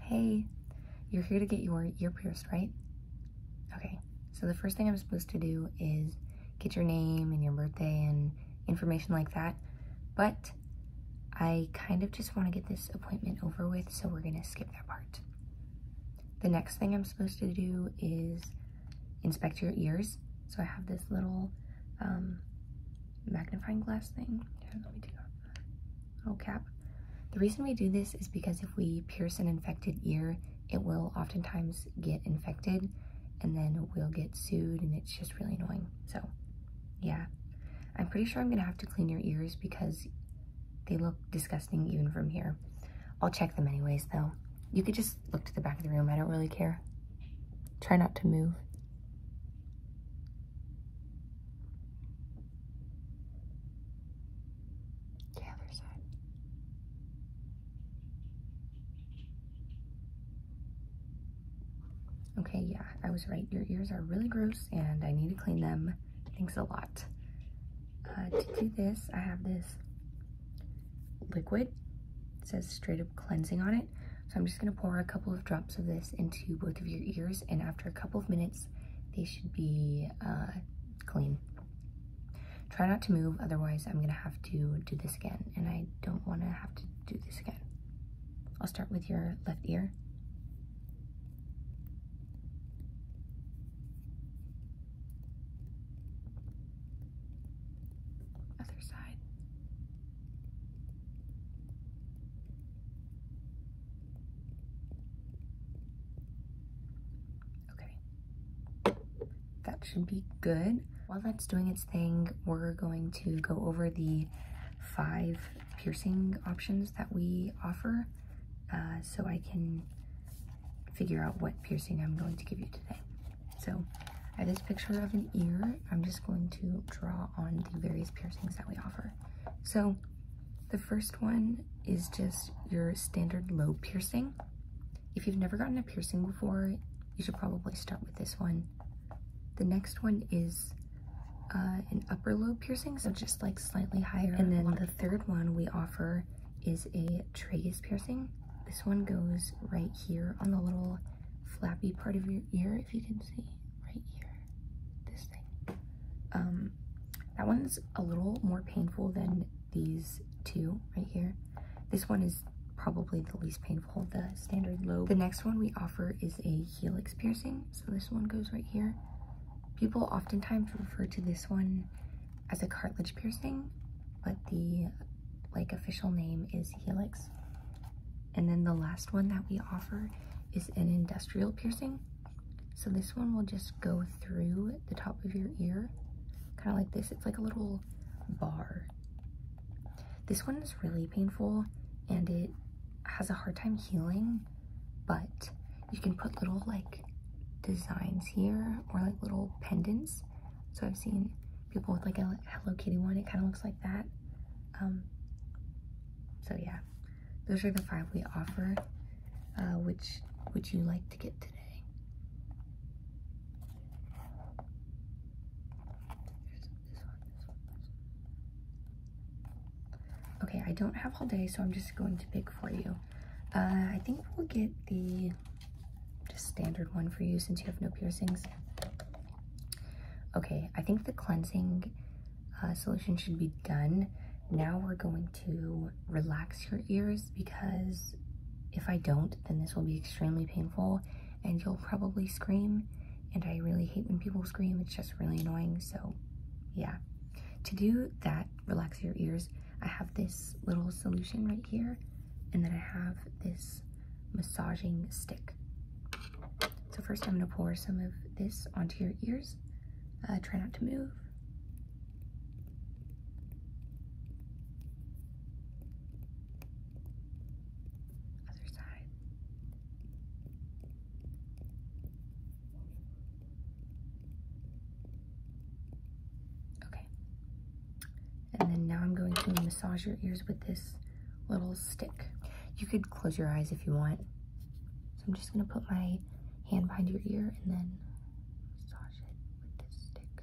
Hey, you're here to get your ear pierced, right? Okay, so the first thing I'm supposed to do is get your name and your birthday and information like that, but I kind of just want to get this appointment over with, so we're going to skip that part. The next thing I'm supposed to do is inspect your ears. So I have this little um, magnifying glass thing. Here, let me do that little oh, cap. The reason we do this is because if we pierce an infected ear, it will oftentimes get infected and then we'll get sued and it's just really annoying. So yeah, I'm pretty sure I'm gonna have to clean your ears because they look disgusting even from here. I'll check them anyways though. You could just look to the back of the room. I don't really care. Try not to move. The other side. Okay, yeah, I was right. Your ears are really gross and I need to clean them. Thanks a lot. Uh, to do this, I have this liquid. It says straight up cleansing on it. So I'm just gonna pour a couple of drops of this into both of your ears and after a couple of minutes, they should be uh, clean. Try not to move, otherwise I'm gonna have to do this again and I don't wanna have to do this again. I'll start with your left ear. Other side. Okay, that should be good. While that's doing its thing, we're going to go over the five piercing options that we offer uh, so I can figure out what piercing I'm going to give you today. So I have this picture of an ear. I'm just going to draw on the various piercings that we offer. So the first one is just your standard lobe piercing. If you've never gotten a piercing before, you should probably start with this one. The next one is uh, an upper lobe piercing, so just like slightly higher. And then the third one we offer is a tragus piercing. This one goes right here on the little flappy part of your ear, if you can see right here, this thing. Um, that one's a little more painful than these two right here. This one is probably the least painful, the standard lobe. The next one we offer is a helix piercing. So this one goes right here. People oftentimes refer to this one as a cartilage piercing but the like official name is Helix. And then the last one that we offer is an industrial piercing. So this one will just go through the top of your ear, kind of like this. It's like a little bar. This one is really painful and it has a hard time healing, but you can put little like designs here or like little pendants so I've seen people with like a Hello Kitty one. It kind of looks like that. Um, so yeah, those are the five we offer. Uh, which would you like to get today? Okay, I don't have all day, so I'm just going to pick for you. Uh, I think we'll get the just standard one for you since you have no piercings. Okay, I think the cleansing uh, solution should be done. Now we're going to relax your ears because if I don't, then this will be extremely painful and you'll probably scream. And I really hate when people scream, it's just really annoying. So, yeah. To do that, relax your ears, I have this little solution right here, and then I have this massaging stick. So first I'm gonna pour some of this onto your ears. Uh, try not to move. Other side. Okay. And then now I'm going to massage your ears with this little stick. You could close your eyes if you want. So I'm just going to put my hand behind your ear and then massage it with this stick.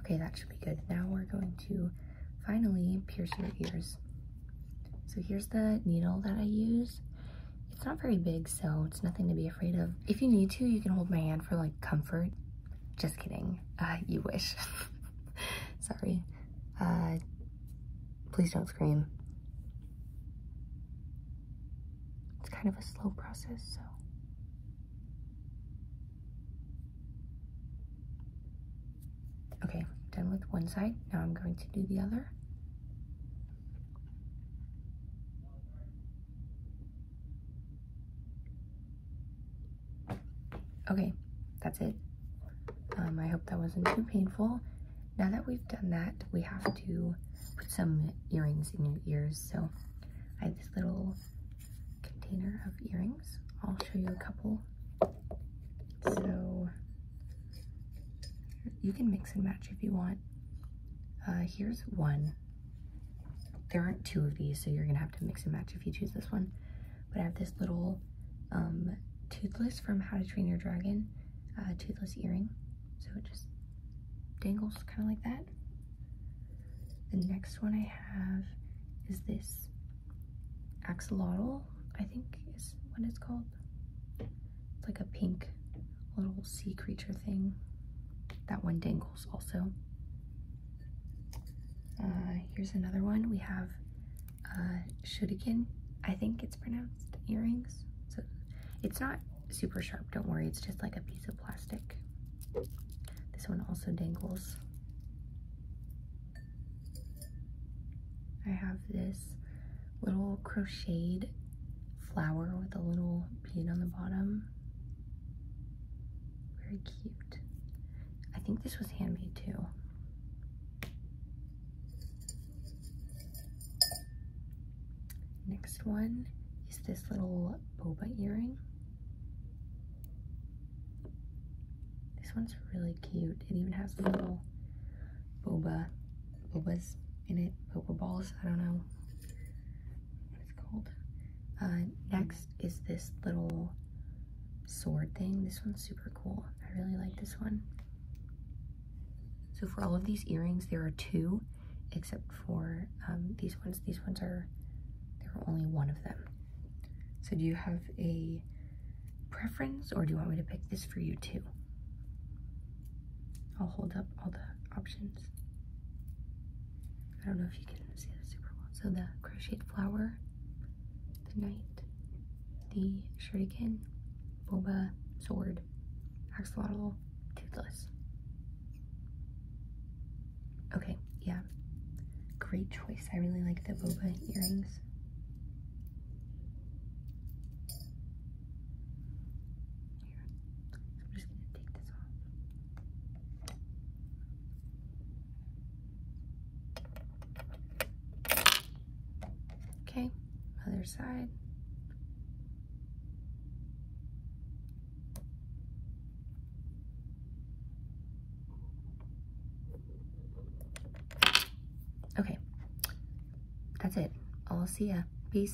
Okay, that should be good. Now we're going to finally pierce your ears. So here's the needle that I use. It's not very big, so it's nothing to be afraid of. If you need to, you can hold my hand for like comfort. Just kidding. Uh, you wish. Sorry. Uh, please don't scream. It's kind of a slow process, so. Okay, done with one side. Now I'm going to do the other. Okay, that's it. Um, I hope that wasn't too painful. Now that we've done that, we have to put some earrings in your ears. So I have this little container of earrings. I'll show you a couple. So you can mix and match if you want. Uh, here's one. There aren't two of these, so you're gonna have to mix and match if you choose this one. But I have this little um, toothless from How to Train Your Dragon uh, toothless earring. So it just dangles kind of like that. The next one I have is this axolotl, I think is what it's called. It's like a pink little sea creature thing. That one dangles also. Uh, here's another one. We have uh, I think it's pronounced, earrings. So it's not super sharp, don't worry. It's just like a piece of plastic. This one also dangles. I have this little crocheted flower with a little bead on the bottom. Very cute. I think this was handmade too. Next one is this little boba earring. This one's really cute. It even has little boba, bobas in it, boba balls, I don't know. Uh, next is this little sword thing. This one's super cool. I really like this one. So for all of these earrings, there are two, except for um, these ones. These ones are, there are only one of them. So do you have a preference or do you want me to pick this for you too? I'll hold up all the options. I don't know if you can see that super well. So the crocheted flower, the knight, the shuriken, boba, sword, axolotl, toothless. Okay, yeah. Great choice. I really like the boba earrings. So I'm just gonna take this off. Okay, other side. Okay, that's it. I'll see ya. Peace.